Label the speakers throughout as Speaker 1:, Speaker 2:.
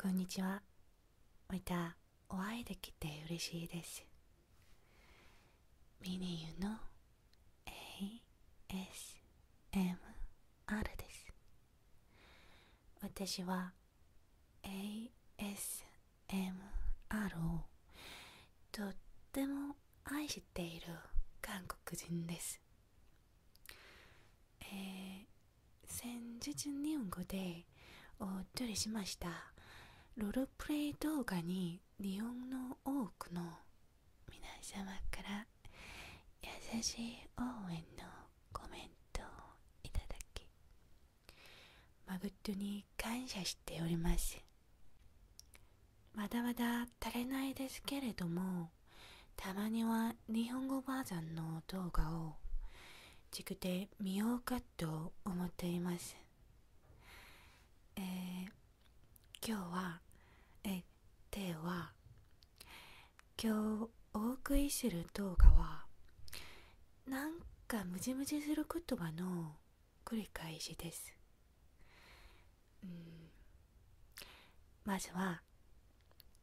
Speaker 1: こんにちはまたお会いできて嬉しいですミニユの ASMR です私は ASMR をとっても愛している韓国人ですえ先日日本語でお撮りしましたロールプレイ動画に日本の多くの皆様から優しい応援のコメントをいただき誠に感謝しておりますまだまだ足りないですけれどもたまには日本語バージョンの動画を軸で見ようかと思っていますえ今日はえでは今日お送りする動画はなんかムジムジする言葉の繰り返しです、うん、まずは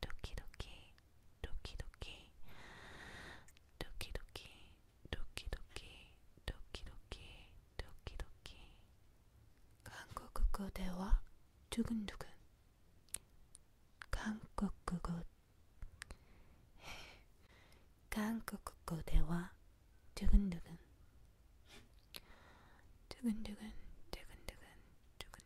Speaker 1: 도끼도끼 도끼도끼 도끼도끼 도끼도끼 도끼도끼 도끼도끼 한국어 대화 두근두근 한국어 한국어 대화 두근두근 두근두근 두근두근 두근두근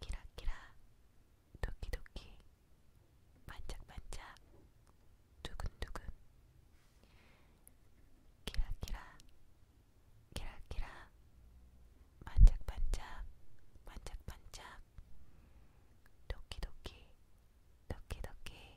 Speaker 1: 키라키라 도끼도끼 반짝반짝 두근두근 키라키라 키라키라 반짝반짝 반짝반짝 도끼도끼 도끼도끼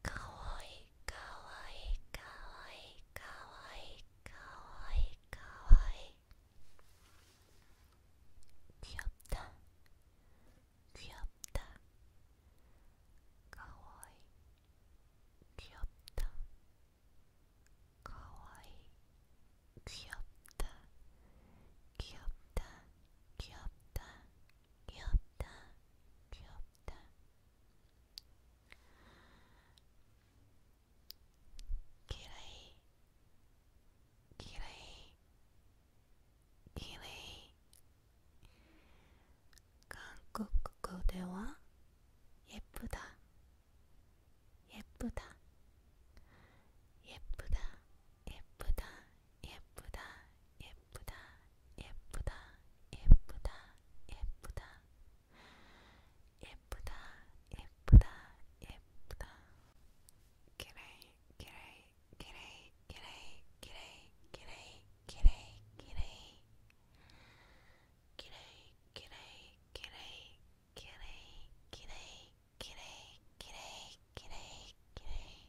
Speaker 1: かわいいかわいいかわいいかわいいかわいいかわいいくよったくよったかわいいくよったかわいいくよったくよったくよったくよったくよったきれいきれいきれい韓国語では예쁘다예쁘다예쁘다예쁘다예쁘다예쁘다예쁘다 예쁘다 예쁘다 예쁘다 예쁘다 예쁘다 예쁘다 기레이 기레이 기레이 기레이 기레이 기레이 기레이 기레이 기레이 기레이 기레이 기레이 기레이 기레이 기레이 기레이 기레이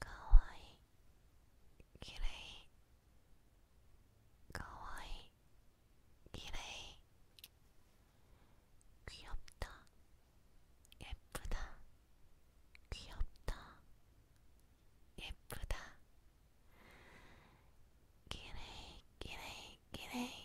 Speaker 1: かわいいきれいかわい귀엽다예쁘다귀엽다예쁘다きれいきれい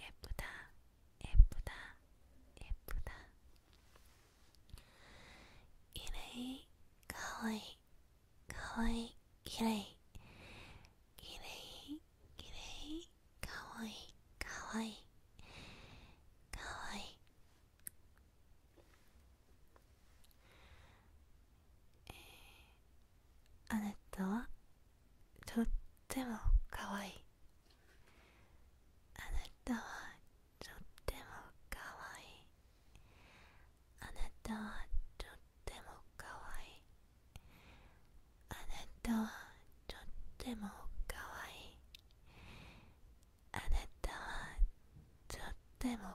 Speaker 1: 예쁘다예쁘다예쁘다이레이가와이가와이이레이이레이이레이가와이가와이가와이あなたはとってもかわいいあなたはとってもかわいいあなたはとってもかわいいあなたはとってもかわいいあなたはとってもかわいい